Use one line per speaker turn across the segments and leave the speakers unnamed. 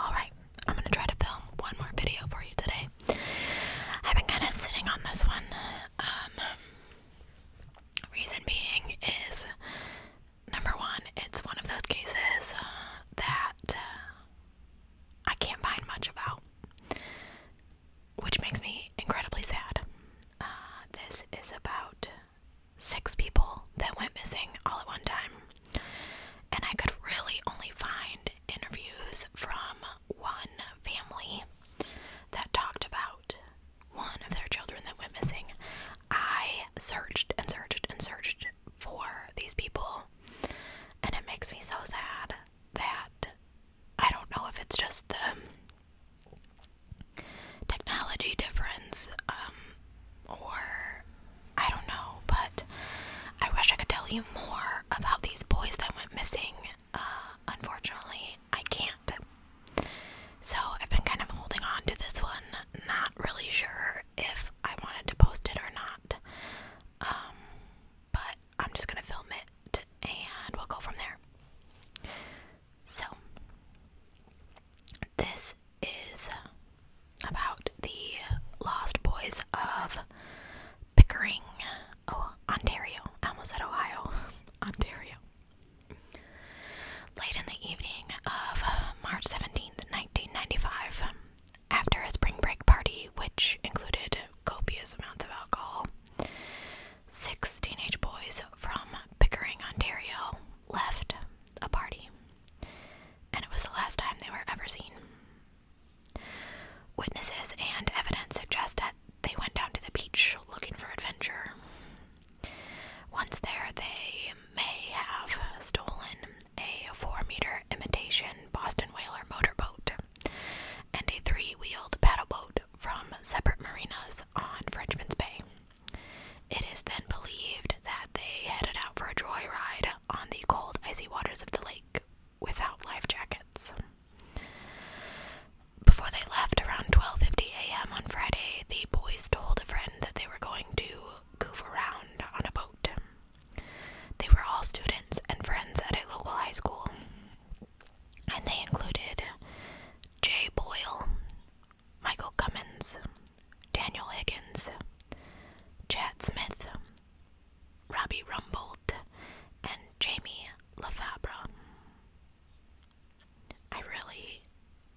Alright, I'm gonna try to film one more video for you today. I've been kind of sitting on this one. Um, reason being is number one, it's one of those cases uh, that uh, I can't find much about, which makes me incredibly sad. Uh, this is about six people that went missing all at one time. And I could really only find interviews from one family that talked about one of their children that went missing. I searched and searched and searched for these people, and it makes me so sad that I don't know if it's just the technology difference um, or I don't know, but I wish I could tell you more about these boys that went missing. Uh, unfortunately, I can't. So I've been kind of holding on to this one, not really sure if I wanted to post it or not. Um, but I'm just gonna film it and we'll go from there. So, this is about the lost boys of Pickering, Ontario. I almost at Ohio, Ontario. Late in the evening of March 17th, 1995, after a spring break party which included copious amounts of alcohol, six teenage boys from Pickering, Ontario left a party and it was the last time they were ever seen. Witnesses and evidence suggest that they went down to the beach looking for adventure. Once there, they may have stolen a four meter imitation Boston Whaler motorboat and a three wheeled paddle boat from separate marinas on Frenchman's Bay. It is then believed that they headed out for a joyride on the cold, icy waters of the lake without life jackets. Before they left around 12:50 a.m. on Friday, the boys told a friend that they were going to goof around on a boat. They were all students and friends at a local high school, and they included J. Boyle, Michael Cummins, Daniel Higgins, Chad Smith, Robbie Rumbold, and Jamie LaFabra. I really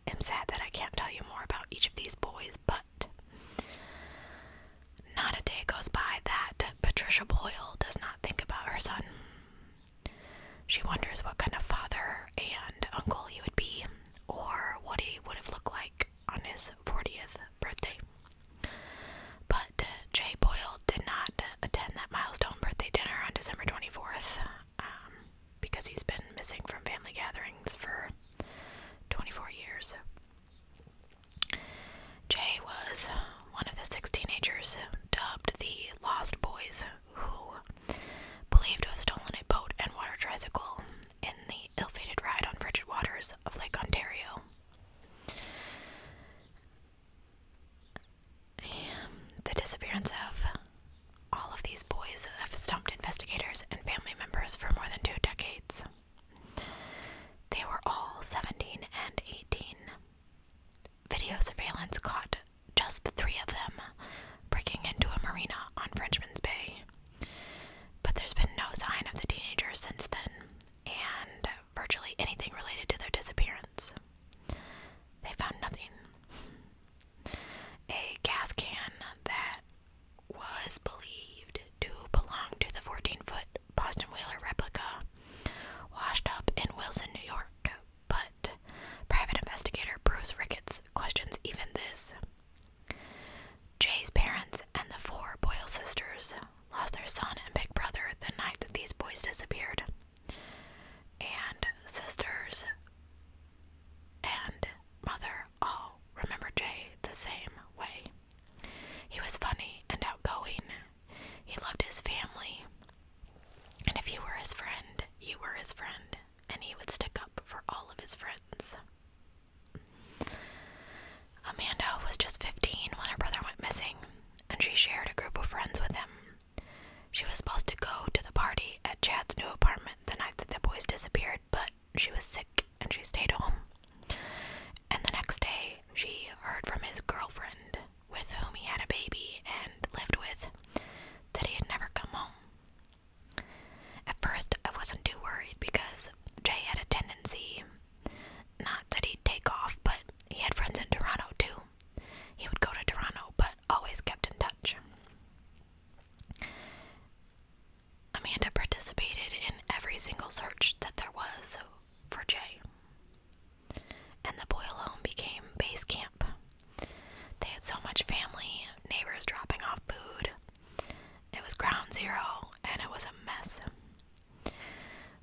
am sad that I can't tell you more about each of these boys, but not a day goes by that Patricia Boyle does not think about her son. She wonders what kind of father and uncle he would be, or what he would have looked like on his 40th birthday. But uh, Jay Boyle did not attend that milestone birthday dinner on December 24th um, because he's been missing from family gatherings for 24 years. Jay was one of the six teenagers dubbed the Lost Boys who believed to have stolen a boat and water tricycle in the ill-fated ride on frigid waters of Lake Ontario. And the disappearance of all of these boys have stumped investigators and family members for more than two decades. They were all 17 and 18. Video surveillance caught just the three of them breaking into a marina on Frenchman's Bay. But there's been no sign of the teenagers since then, and virtually anything related to their disappearance. They found nothing. A gas can that was believed to belong to the 14 foot Boston Whaler replica washed up in Wilson, New York, but private investigator Bruce Ricketts questions even this. Jay's parents and the four Boyle sisters lost their son and big brother the night that these boys disappeared. And sisters and mother all remember Jay the same way. He was funny and outgoing. He loved his family. And if you were his friend, you were his friend and he would stick up for all of his friends. Amanda was just 15 when her brother went missing, and she shared a group of friends with him. She was supposed to go to the party at Chad's new apartment the night that the boys disappeared, but she was sick and she stayed home. And the next day, she heard from his girlfriend, with whom he had a baby and lived with, that he had never come home. At first, I wasn't too worried because Jay had a tendency not that he'd take off, but he had friends in Toronto too. He would go to Toronto, but always kept in touch. Amanda participated in every single search that there was for Jay, and the boy home became base camp. They had so much family, neighbors dropping off food. It was ground zero, and it was a mess.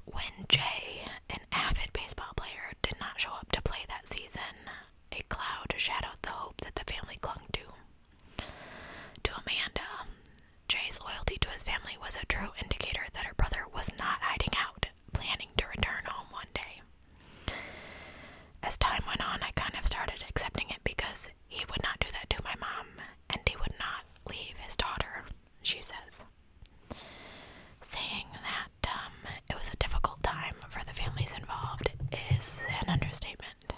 When Jay, an avid baseball player, did not show up to play that season, a cloud shadowed the hope that the family clung to. To Amanda, Jay's loyalty to his family was a true indicator that her brother was not hiding out, planning to return home one day. As time went on, I kind of started accepting it because he would not do that to my mom and he would not leave his daughter, she says. Saying that um, it was a difficult time for the families involved is an understatement.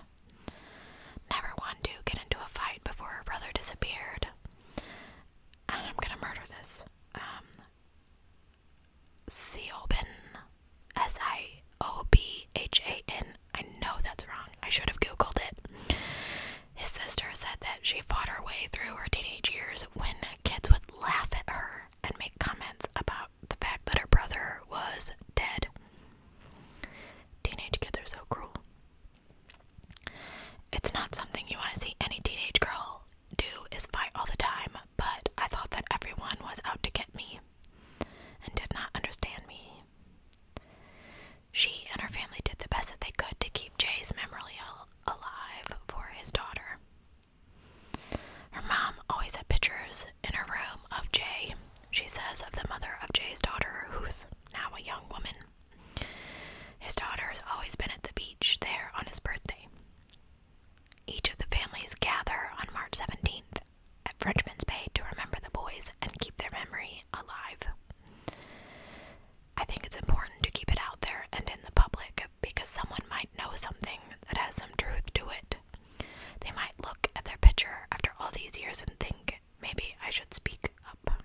Never wanted to get into a fight before her brother disappeared. And I'm gonna murder this. Um, Siobhan. S I O B H A N. I know that's wrong. I should have Googled it. His sister said that she fought her way through her teenage years when kids would laugh at her and make comments about the fact that her brother was dead. Teenage kids are so cruel. It's not something you want to see any teenage girl do is fight all the time but I thought that everyone was out to get me and did not understand me. She and her family did the best that they could to keep Jay's memory alive for his daughter. Her mom always had pictures in her room of Jay, she says, of the mother of Jay's daughter, who's now a young woman. His daughter has always been at the beach there on his birthday. Each of the families gather on March 17th at Frenchman's Bay to remember the boys and keep their memory alive. I think it's important to keep it out there and in the public because someone might know something that has some truth to it. They might look at their picture after all these years and think, maybe I should speak up.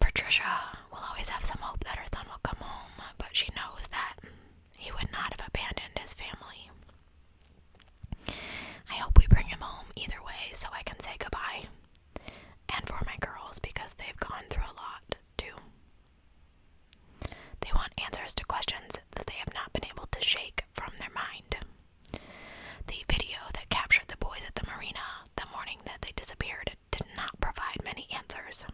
Patricia will always have some hope that her son will come home, but she knows that he would not have abandoned his family. I hope we bring him home either way so I can say goodbye. And for my girls because they've gone through a lot too. They want answers to questions that they have not been able to shake from their mind. The video that captured the boys at the marina the morning that they disappeared did not provide many answers.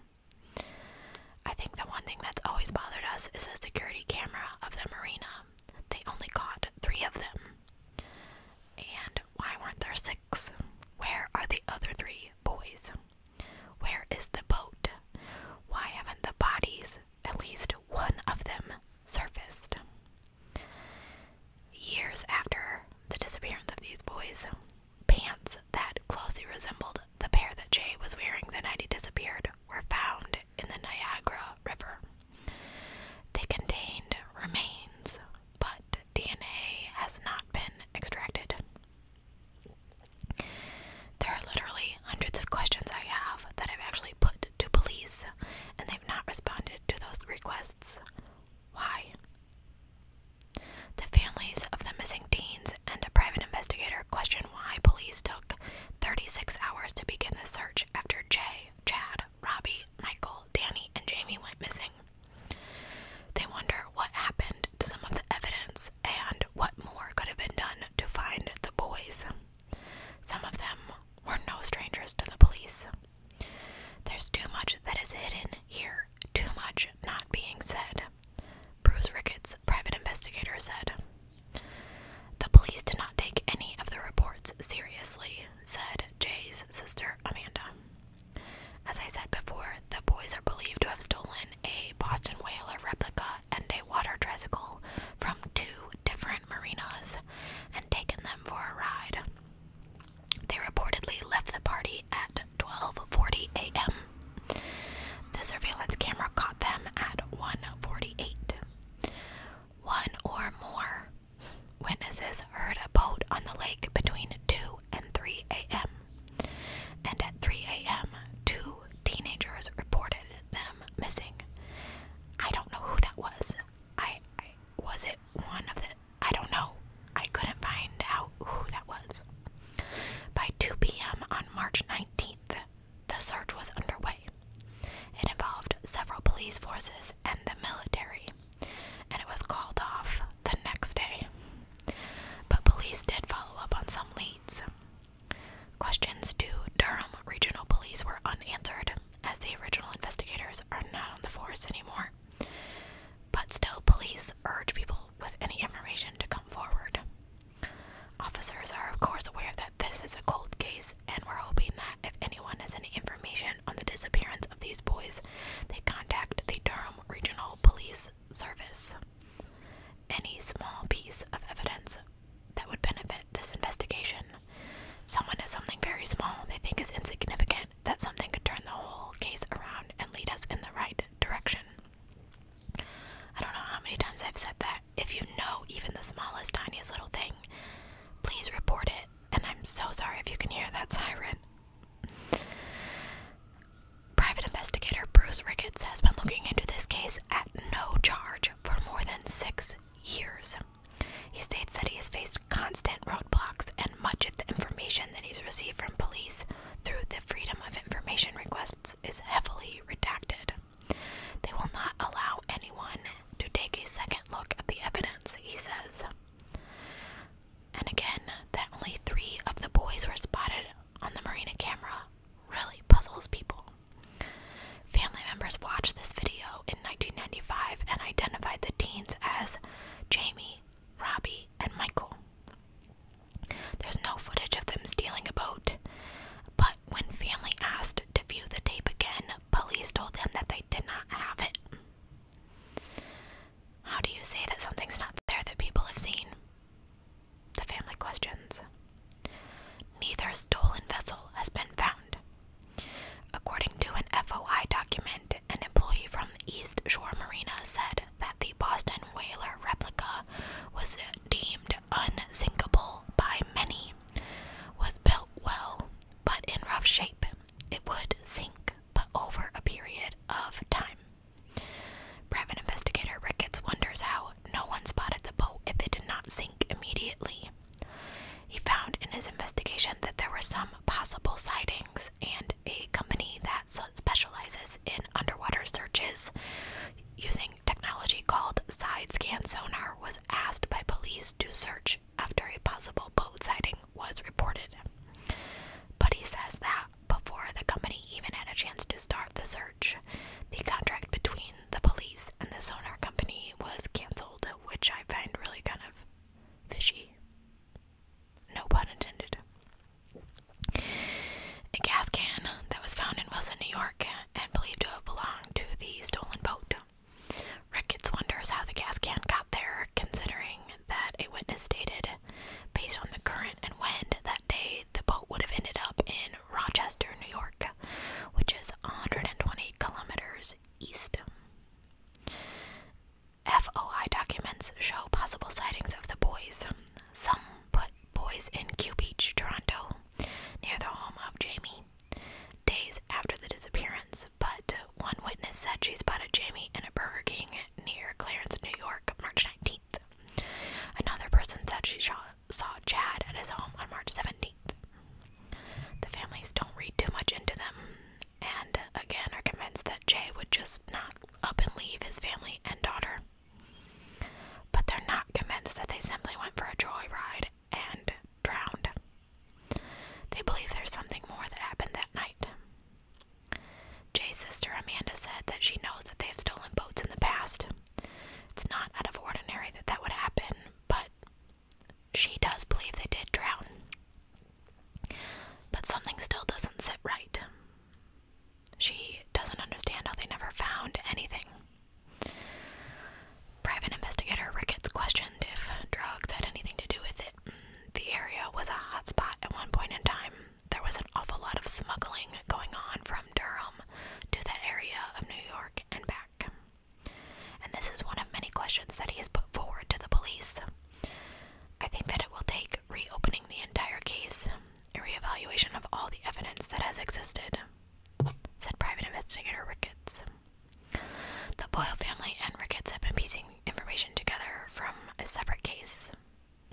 I think the one thing that's always bothered us is the security camera of the marina. They only caught three of them. And why weren't there six? Where are the other three boys? Where is the boat? Why haven't the bodies, at least one of them, surfaced? Years after the disappearance of these boys, pants that closely resembled the pair that Jay was wearing the night he disappeared were found in the Niagara River. They contained remains, but DNA has not been extracted. There are literally hundreds of questions I have that I've actually put to police, and they've not responded to those requests. Why? The families of the missing teens and a private investigator question why police took 36 hours to begin the search after Jay, Chad, Robbie, Michael, Danny, and Jamie went missing. They wonder what happened to some of the evidence and what more could have been done to find the boys. Some of them were no strangers to the police. There's too much that is hidden here, too much not being said, Bruce Ricketts, private investigator, said. The police did not take any of the reports seriously, said Jay's sister Amanda. As I said before, the boys are believed to have stolen a Boston Whaler replica and a water tricycle from two different marinas and taken them for a ride. They reportedly left the party at 12:40 a.m. The surveillance camera caught them at 1:48. One or more witnesses heard a boat on the lake between 2 and 3 a.m. And at 3 a.m., two teenagers reported them missing. I don't know who that was. I was it one of the I don't know. I couldn't find out who that was. By 2 p.m. on March 19th, the search was underway. It involved several police forces and the military, and it was called off the next day. But police did follow up on some leads. Questions to Durham Regional Police were unanswered, as the original investigators are not on the force anymore. But still, police urge people with any information to come forward. Officers are, of course, aware that this is a cold case, and we're hoping that if anyone has any information on the disappearance of these boys, they contact the Durham Regional Police Service. Any small piece of evidence that would benefit this investigation. Someone has something very small they think is insignificant that something could turn the whole case around and lead us in the right direction. I don't know how many times I've said that. If you know even the smallest, tiniest little thing, please report it. And I'm so sorry if you can hear that siren. Private investigator Bruce Ricketts has been looking into this case at no charge for more than six years. He states that he has faced constant roadblocks and much of the information that he's received from police through the Freedom of Information requests is heavily redacted. They will not allow anyone to take a second look at the evidence, he says. And again, that only three of the boys were spotted on the marina camera really puzzles people. Family members watched this video in 1995 and identified the teens as Jamie, Robbie, and Michael. There's no footage of them stealing a boat, but when family asked to view the tape again, police told them that they did not have it. How do you say that something's not there that people have seen? The family questions. Neither stolen vessel has been found. According to an FOI document, an employee from the East Shore Marina said that the Boston Whaler replica was deemed unsinkable by many, was built well but in rough shape. It would sink, but over a period of time. Private investigator Ricketts wonders how no one spotted the boat if it did not sink immediately. He found in his investigation that there were some possible sightings and a company that specializes in underwater searches using technology called side scan sonar was asked by police to search after a possible boat sighting was reported. But he says that before the company even had a chance to start the search, the contract between the police and the sonar company was canceled, which I find really kind of fishy. No pun intended. A gas can that was found in Wilson, New York, and believed to have belonged to the stolen boat. Ricketts wonders how the gas can got there, considering that a witness stated, based on the current and wind that day, the boat would have ended up in Rochester, New York, which is 120 kilometers east. FOI documents show possible sightings of the boys. Some put boys in Q Beach, Toronto, near the home of Jamie, days after the disappearance, but one witness said she spotted Jamie in a Burger King near Clarence, New York, March 19th. Another person said she saw Chad at his home on March 17th. The families don't read too much into them and again are convinced that Jay would just not up and leave his family and daughter. But they're not convinced that they simply went for a joyride and drowned. They believe there's something more that happened that night. Jay's sister Amanda said that she knows that they have stolen boats in the past. It's not out of ordinary that that would happen, but she does believe they did drown. But something still doesn't sit right. She doesn't understand how they never found anything. Private investigator Ricketts questioned if drugs had anything to do with it. The area was a hot spot at one point in time. There was an awful lot of smuggling going on from Durham to that area of New York and back. And this is one of many questions that he has put forward to the police. I think that it will take reopening the entire case, a re-evaluation of all the evidence that has existed, said private investigator Ricketts. The Boyle family and Ricketts have been piecing information together from a separate case,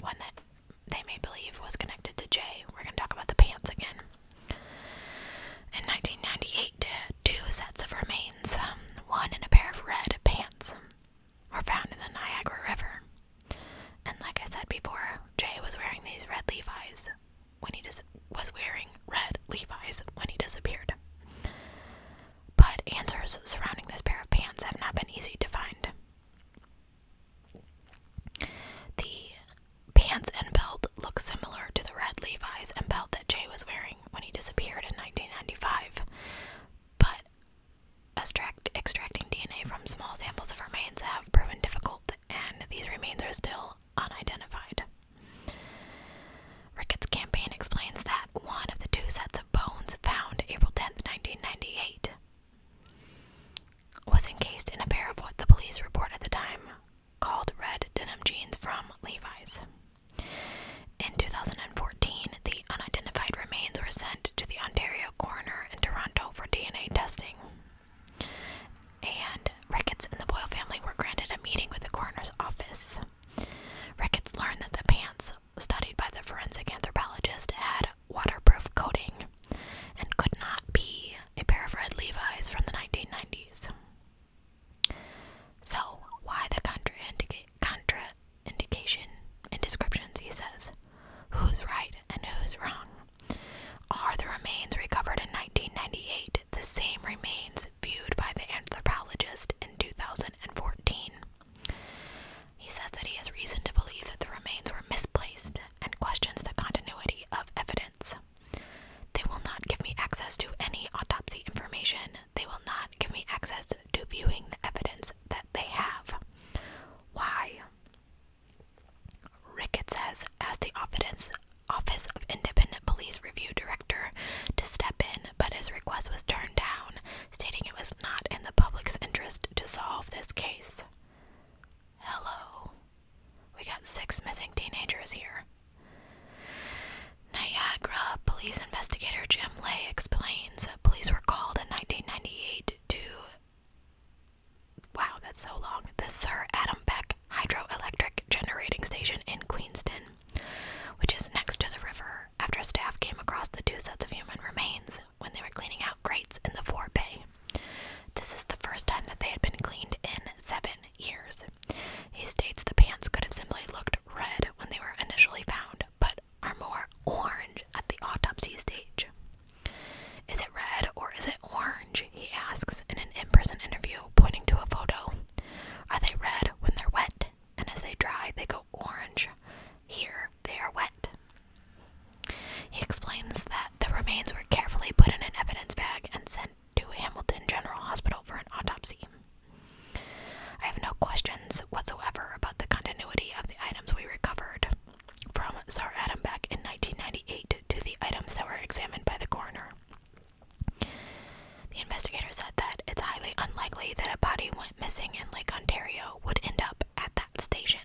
one that they may believe was connected to Jay. We're going to talk about the pants again. In 1998, two sets of remains, um, one in a pair of red pants, were found in the Niagara River. And like I said before, Jay was wearing these red Levi's when he dis was wearing red Levi's when he disappeared. But answers surrounding this pair of pants have not been easy to find. The pants and belt look similar to the red Levi's and belt that Jay was wearing when he disappeared in 1995, but extracting DNA from small samples of remains have proven difficult, and these remains are still unidentified. Ricketts' campaign explains that one of the two sets of bones found April 10, 1998, was encased in a pair of what the police report at the time called red denim jeans from Levi's. In 2014, the unidentified remains were sent to the Ontario coroner in Toronto for DNA testing. And Ricketts and the Boyle family were granted a meeting with the coroner's office. Ricketts learned that the pants studied by the forensic anthropologist had waterproof coating and could not be a pair of red Levi's from the 1990s. So, why the contra indication and descriptions, he says? Who's right and who's wrong? Are the remains recovered in 1998 the same remains viewed by the anthropologist in 2014? He says that he has reason to believe that the remains were misplaced and questions the continuity of evidence. They will not give me access to any autopsy information they will not give me access to viewing the evidence that they have. Why? Rickett says, as the Office of Independent Police Review Director, to step in, but his request was turned down, stating it was not in the public's interest to solve this case. Hello. We got six missing teenagers here. Niagara police investigator Jim Lay explains police were called in 1998 to. Wow, that's so long. The Sir Adam Beck Hydroelectric Generating Station in Queenston, which is next to the river, after staff came across the two sets of human remains when they were cleaning out grates in the forebay. This is the first time that they had been cleaned in seven years. He states the pants could have simply looked red when they were initially found, but are more orange at the autopsy stage. Is it red or is it orange? He asks in an in person interview, pointing to a photo. Are they red when they're wet? And as they dry, they go orange. Here, they are wet. He explains that the remains were carefully put in an evidence bag and sent to Hamilton General Hospital for an autopsy. I have no questions whatsoever about the continuity of the items we recovered from Sir Adam back in 1998 to the items that were examined by the coroner. The investigator said that it's highly unlikely that a body went missing in Lake Ontario would end up at that station.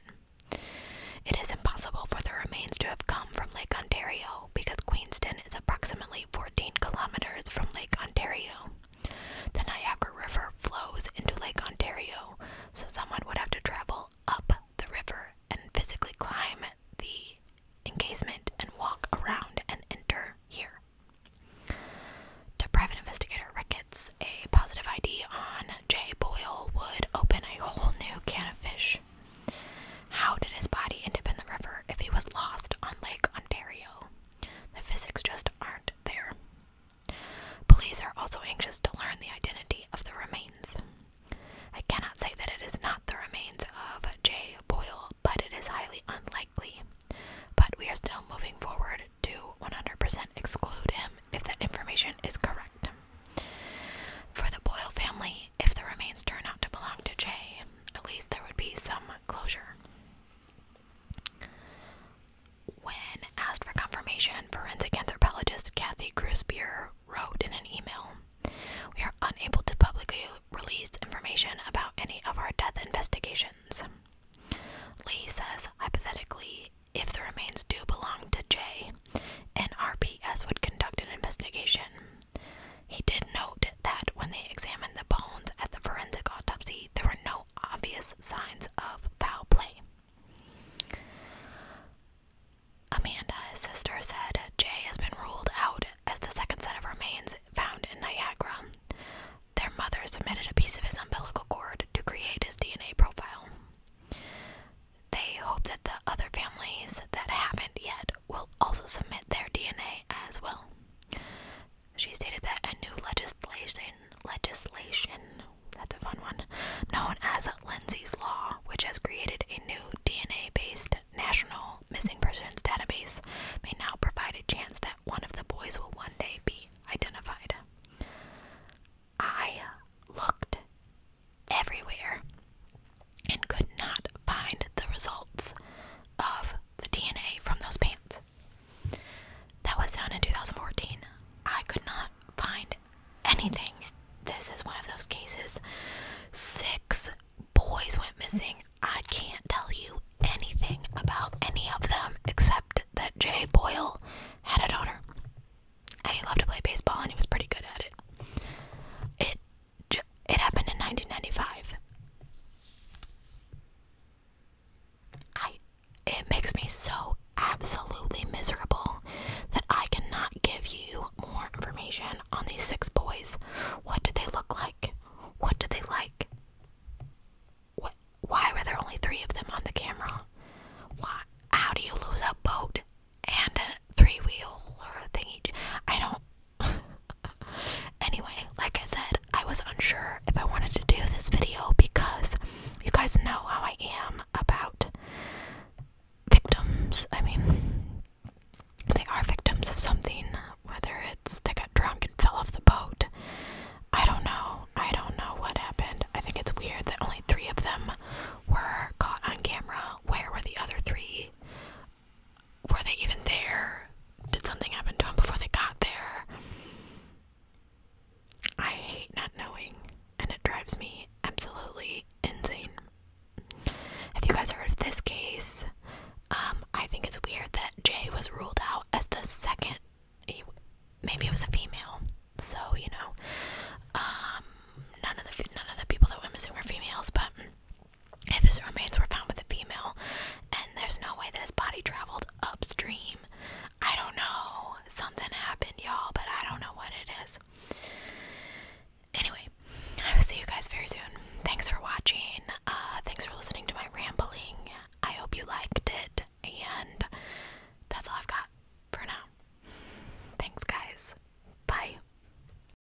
It is impossible for the remains to have come from Lake Ontario because Queenston is approximately 14 kilometers from Lake Ontario. The Niagara River flows into Lake Ontario, so someone would have to travel up the river and physically climb the encasement and walk around and enter here. To private investigator Ricketts, a positive ID on J. Boyle would open a whole new can of fish. How did his body end up in the river if he was lost on Lake Ontario? The physics just aren't there. Police are also anxious to learn the identity of the remains. I cannot say that it is not the remains of J. Boyle, but it is highly unlikely. But we are still moving forward to 100% exclude him if that information is correct. For the Boyle family, if the remains turn out to belong to Jay, at least there would be some closure. When asked for confirmation, forensic anthropologist Kathy Grisbeer wrote in an email We are unable to publicly release information about any of our death investigations. Lee says, hypothetically, if the remains do belong to Jay, RPS would conduct an investigation. He did note that when they examined the bones at the forensic autopsy, there were no obvious signs of foul play. Amanda, his sister, said Jay has been ruled out as the second set of remains found in Niagara. Their mother submitted a piece of his umbilical cord to create his DNA profile. They hope that the other families that haven't yet will also submit their DNA as well. She stated that a new legislation, legislation, that's a fun one, known as Lindsay's Law, which has created a new DNA based national missing persons database, may now provide a chance that one of the boys will one day be identified. I looked everywhere and could not find the results of the DNA from those pants. That was done in 2014. I could not find anything. This is one of those cases. Six boys went missing. I can't tell you anything about any of them except that Jay Boyle had a daughter. And he loved to play baseball and he was pretty good at it. It it happened in 1995. I it makes me so absolutely miserable that I cannot give you more information on these six boys. What did they look like? What did they like? why were there only 3 of them on the camera? Why how do you lose a boat and a three wheel or thingy? I don't anyway, like I said, I was unsure if I wanted to do this video because you guys know how I am about victims. I mean, they are victims of something, whether it's they got drunk and fell off the boat. I don't know. I don't know what happened. I think it's weird that only three of them were caught on camera. Where were the other three? were they even there? Did something happen to them before they got there? I hate not knowing, and it drives me absolutely insane. Have you guys heard of this case? Um, I think it's weird that Jay was ruled out as the second. maybe it was a female, so you know, um, none of the none of the people that went missing were females, but if his remains were found with a female, and there's no way that his body traveled upstream, I don't know. Something happened, y'all, but I don't know what it is. Anyway, I will see you guys very soon. Thanks for watching. Uh, thanks for listening to my rambling. I hope you liked it, and that's all I've got for now. Thanks, guys. Bye.